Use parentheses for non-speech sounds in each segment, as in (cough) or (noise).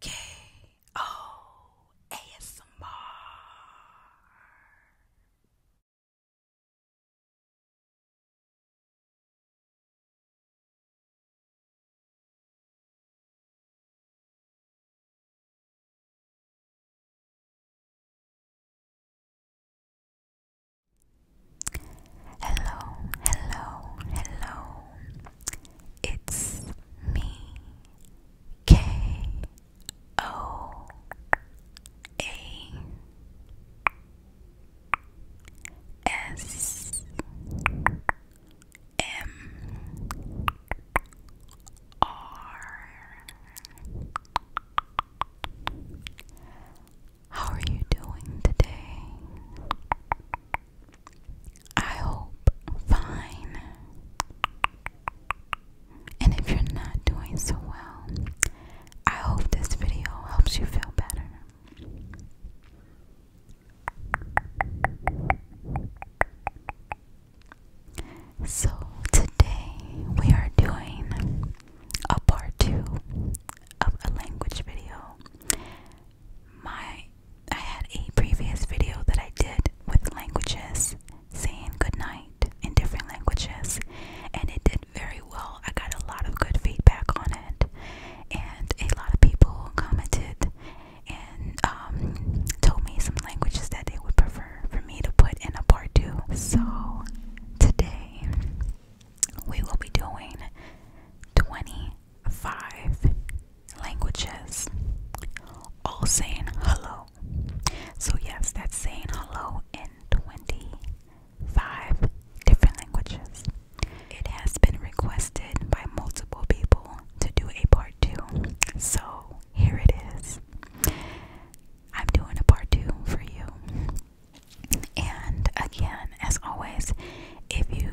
K O Hello, hello, hello. It's me, K O A S M R. How are you doing today? I hope fine. And if you're not doing so well, I hope this video helps you feel better. So, today we are doing a part two of a language video. My I had a previous video that I did with languages saying good night in different languages, and it did very well. I got a lot of good feedback on it, and a lot of people commented and um, told me some languages that they would prefer for me to put in a part two. So today we will be doing 20 five languages, all saying hello. So, yes, that's saying hello in 25 different languages. It has been requested by multiple people to do a part two. So, here it is. I'm doing a part two for you. And again, as always, if you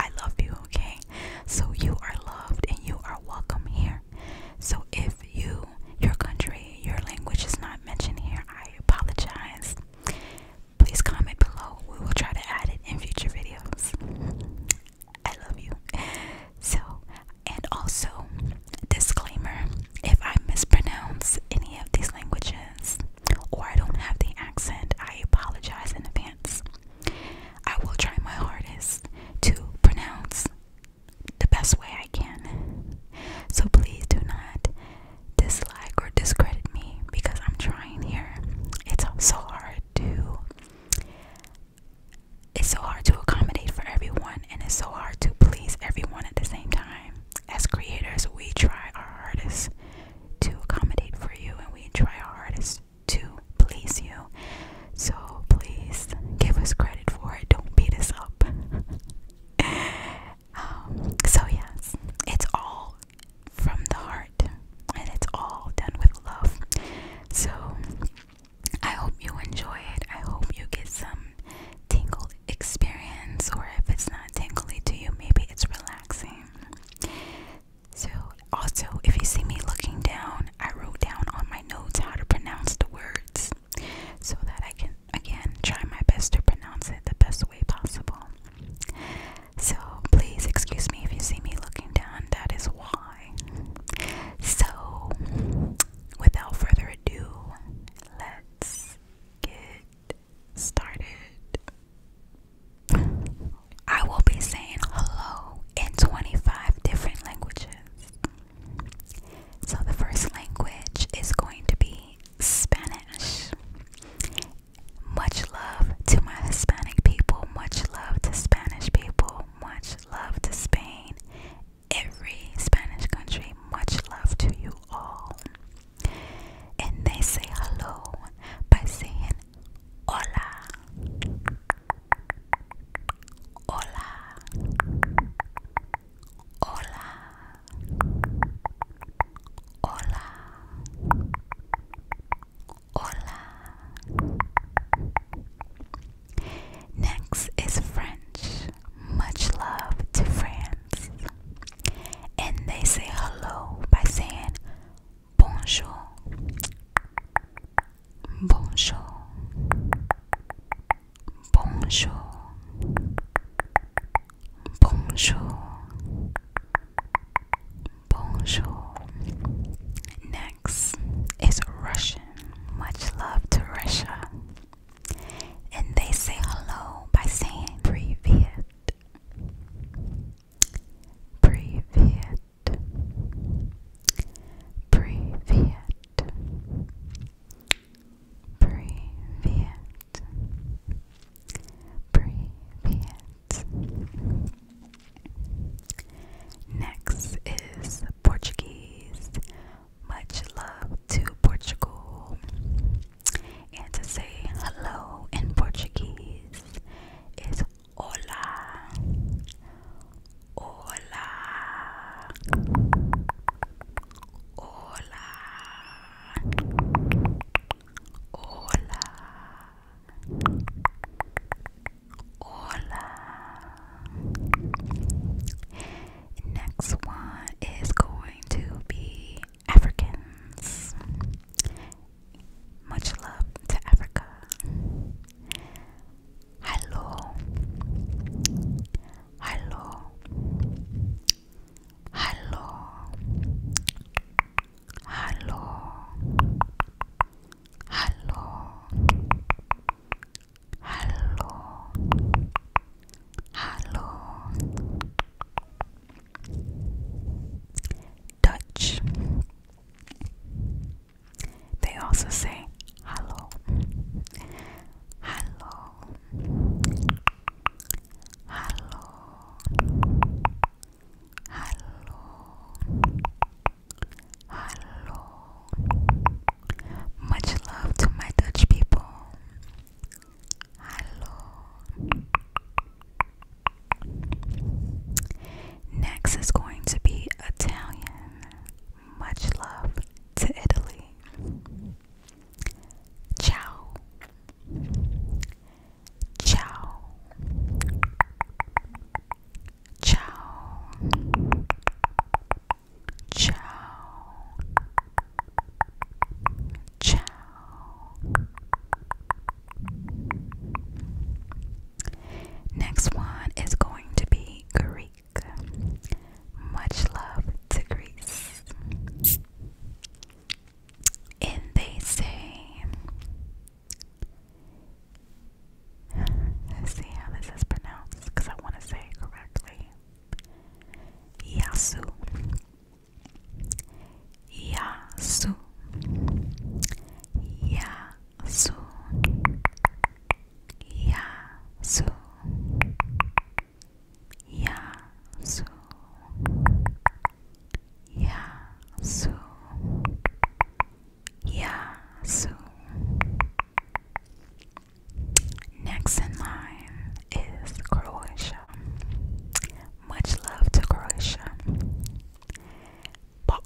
I love you, okay? So you are loved and you are welcome here. So if you, your country, your language is not mentioned here, I apologize. Please comment below. We will try to add it in future videos. I love you. So, and also, disclaimer if I mispronounce any of these languages or I don't have the accent, I apologize in advance. I will try my hardest to pronounce the best way I can. So please do not dislike or discredit me because I'm trying here. It's so hard to it's so hard to accommodate for everyone and it's so hard to please everyone at the same time. As creators, we try our hardest to accommodate for you and we try our hardest to please you. So please give us credit for it. Don't beat us up. (laughs) Um, so, yes, it's all from the heart and it's all done with love. So, I hope you enjoy it. I hope you get some tingle experience, or if it's not tingly to you, maybe it's relaxing. So, also, if you see me looking down, I wrote down on my notes how to pronounce the words so that I can, again, try my best to pronounce it the best way possible. So, please excuse me if you see me looking down, that is why. So, without further ado, let's get started. I will be saying hello in 25 different languages. So, the first language is going to be Spanish. Much love to my Hispanic people, much love to Spanish people, much love to Spain, every Spanish country, much love to you all. And they say hello by saying Hola. Hola. Hola. Hola. Hola. Next is French. Much love to France. And they say hello by saying Bonjour. Bonjour. Bonjour. Bonjour. Bonjour. Next is Russian. Much love to Russia. And they say hello by saying privet. Privet. Privet. Privet. Privet. Next is Portuguese. Much love to Portugal. And to say hello in Portuguese es hola. Hola. Hola. Hola. Hola. Next one is going to be Africans. Much love to Africa. Hello. Hello. Hello. Hello. Hello. Hello. Hello. Dutch. They also say hello, hello, hello, hello, hello. Much love to my Dutch people. Hello. Next is going to be Italian. Much love to Italy. Ciao. Ciao. Ciao. Ciao. Ciao. Next one is going to be Greek. Much love to Greece. And they say, see how this is pronounced because I want to say correctly. Yasu. Yasu Yasu Yasu Yasu Yasu Yasu Next in line is Croatia. Much love to Croatia. Bok.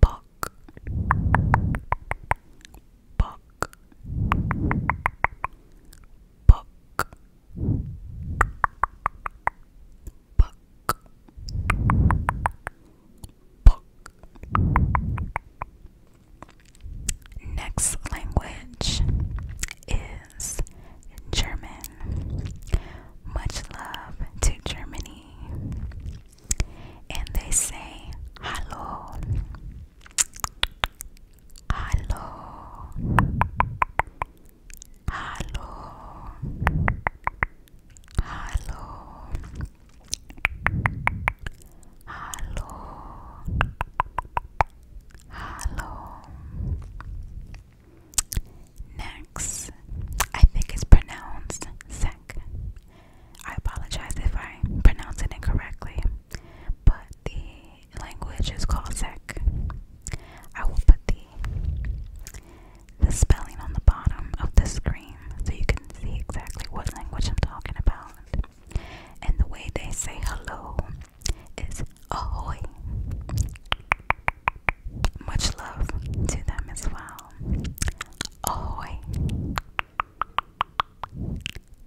Bok. Bok. Bok. Bok. Bok. Next language is German. Much love to Germany. And they say hello. Hello. Hello. Hello. Hello. Hello. Next, I think it's pronounced Zek. I apologize if I pronounce it incorrectly, but the language is called Zek. I will put the the spelling on the bottom of the screen so you can see exactly what language I'm talking about. And the way they say hello is ahoy. Much love to them as well. Ahoy.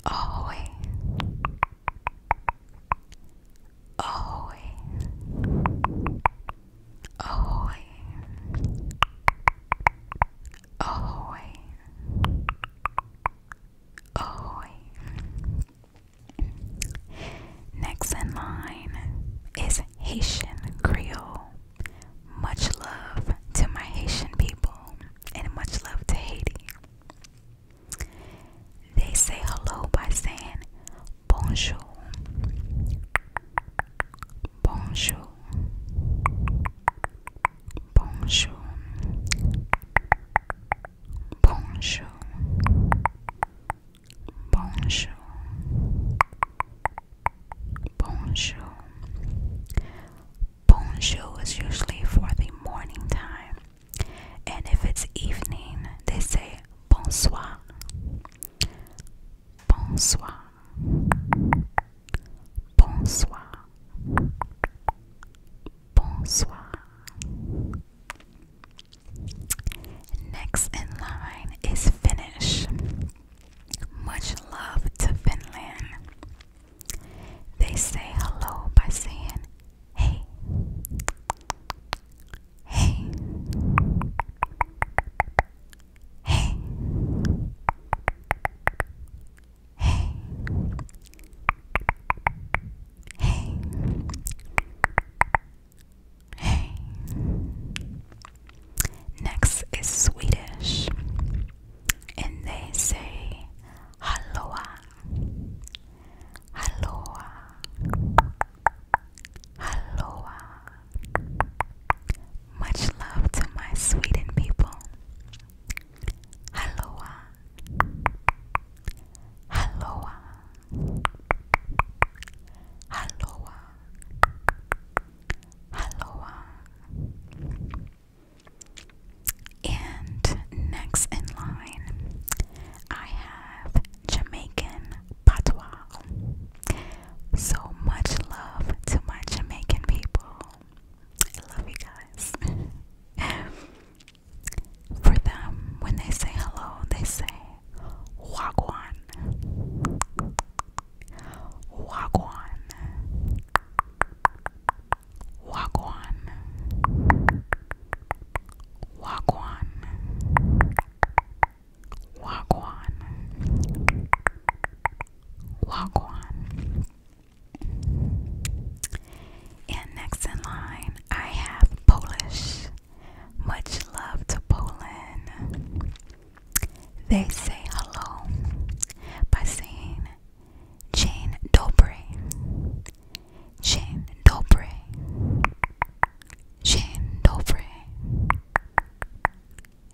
Ahoy. Ahoy. Ahoy. Ahoy. Ahoy. Next in line is Haitian Creole. Much love to my Haitian people and much love to Haiti. They say hello by saying bonjour. Bonjour. Bonjour. Bonjour. Bonjour. Bonjour. Bonjour is usually for the morning time. And if it's evening, they say bonsoir. Bonsoir. Bonsoir. Bonsoir. Next in line is Finnish. Much love to Finland. They say hello by saying hey. Hey. Hey. Hey. Hey. Hey. Next is Swedish. And they say halloa. Halloa. Halloa. Much love to my Sweden people. Hello, Aloha. Aloha. Aloha. And next in line, I have Jamaican Patois. So much love to my Jamaican people. I love you guys. (laughs) For them, when they say hello, they say wagwan. Wagwan. Wagwan. Wagwan. Wagwan. Wagwan. And next in line, I have Polish. Much love to Poland. They say hello by saying Jane Dobry. Jane Dobry. Jane Dobry.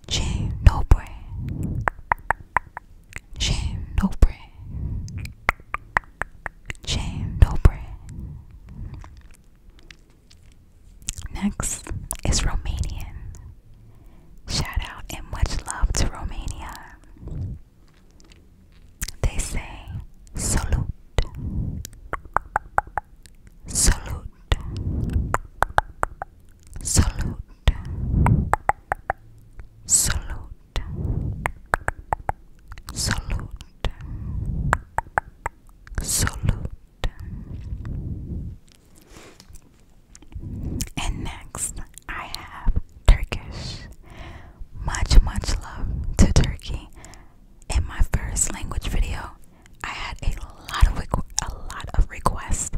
Jane Dobry. Shame, Jane Dobre. Jane Dobre. Next is Romanian. Shout out and much love to Romania. They say salute, salute, salute, salute, salute, salute. And next, I have Turkish. Much, much love to Turkey. In my first language video, I had a lot of a lot of requests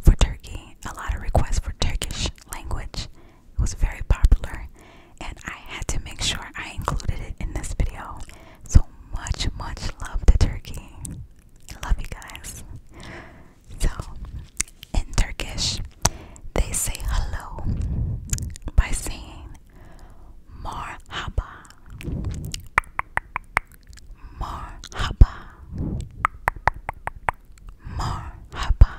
for Turkey, a lot of requests for Turkish language. It was very popular, and I had to make sure I included it in this video. So much, much love to Turkey. love you guys. So, in Turkish, they say hello by saying marhaba. Marhaba Marhaba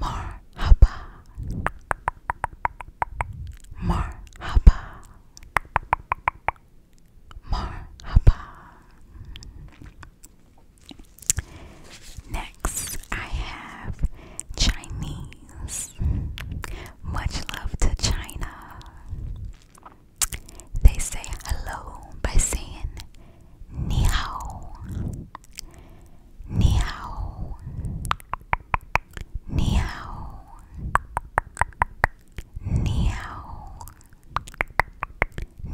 Marhaba Marhaba Marhaba Next I have Chinese Much love to China they say hello by saying ni hao, ni hao, ni hao, ni hao,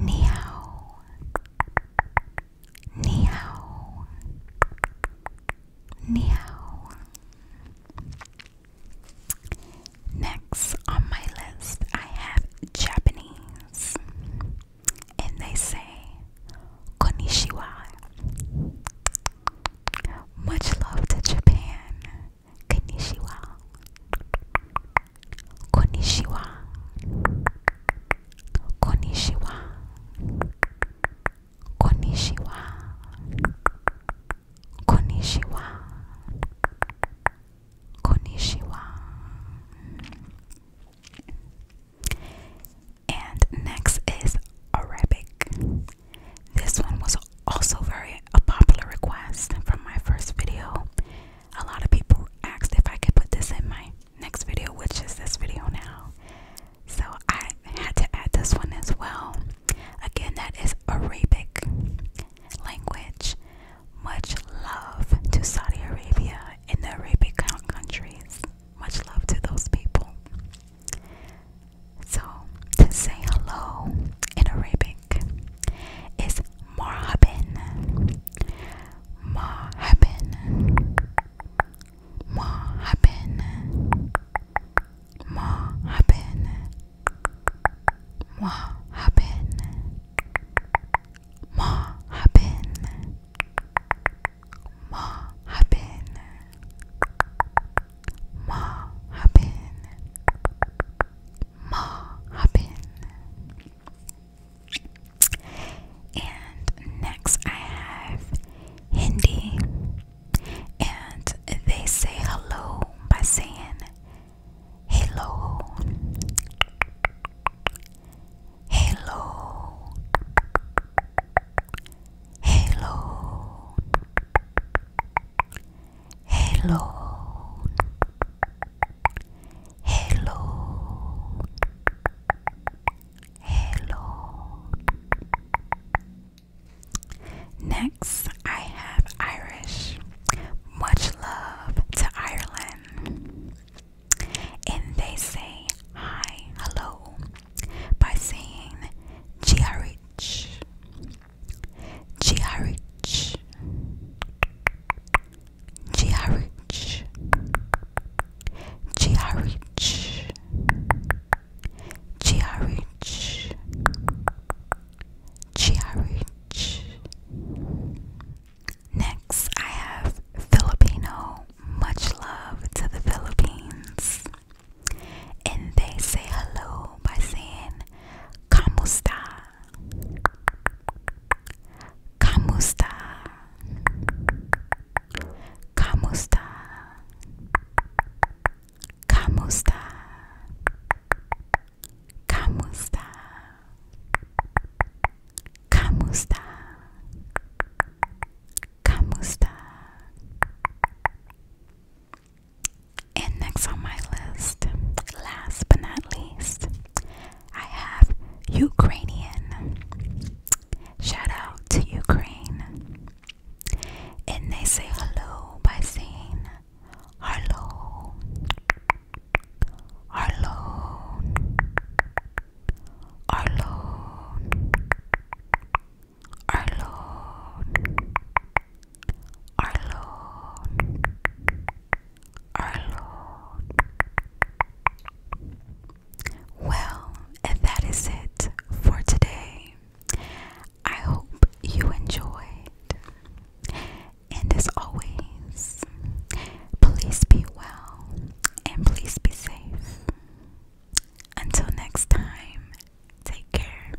ni hao, ni hao, ni hao. Next on my list, I have Japanese, and they say Konnichiwa. Much love to Japan. Konnichiwa. Konnichiwa. Konnichiwa. Konnichiwa. Konnichiwa. Konnichiwa. And next is Arabic. This one was also very a popular request from my first video. A lot of people asked if I could put this in my next video, which is this video now. So I had to add this one as well. Again, that is Arabic language. Much love to Saudi Arabia and the Arabic countries. Much love to those people. So, to say hello in Arabic is marhaban. Marhaban. Marhaban. Marhaban. Moi happen. Moi happen. Moi happen. Moi happen. Moi happen. And next I have Hindi and they say hello by saying hello, hello, hello, hello, hello. Hello. Next, I have Irish. Much love to Ireland. And they say hi, hello by saying GRH. GRH. GRH. GRH. GRH. Chiarich. Next, I have Filipino. Much love to the Philippines. And they say hello by saying Kamusta. Kamusta. Kamusta. Kamusta? Kamusta? Kamusta? Kamusta? And next on my list, last but not least, I have Ukrainian. Shout out to Ukraine and they say hello by saying Harlow, Harlow, Harlow, Harlow, Harlow, Harlow. Well, and that is it for today. I hope you enjoyed. And as always, please be well and please be safe. Until next time, take care.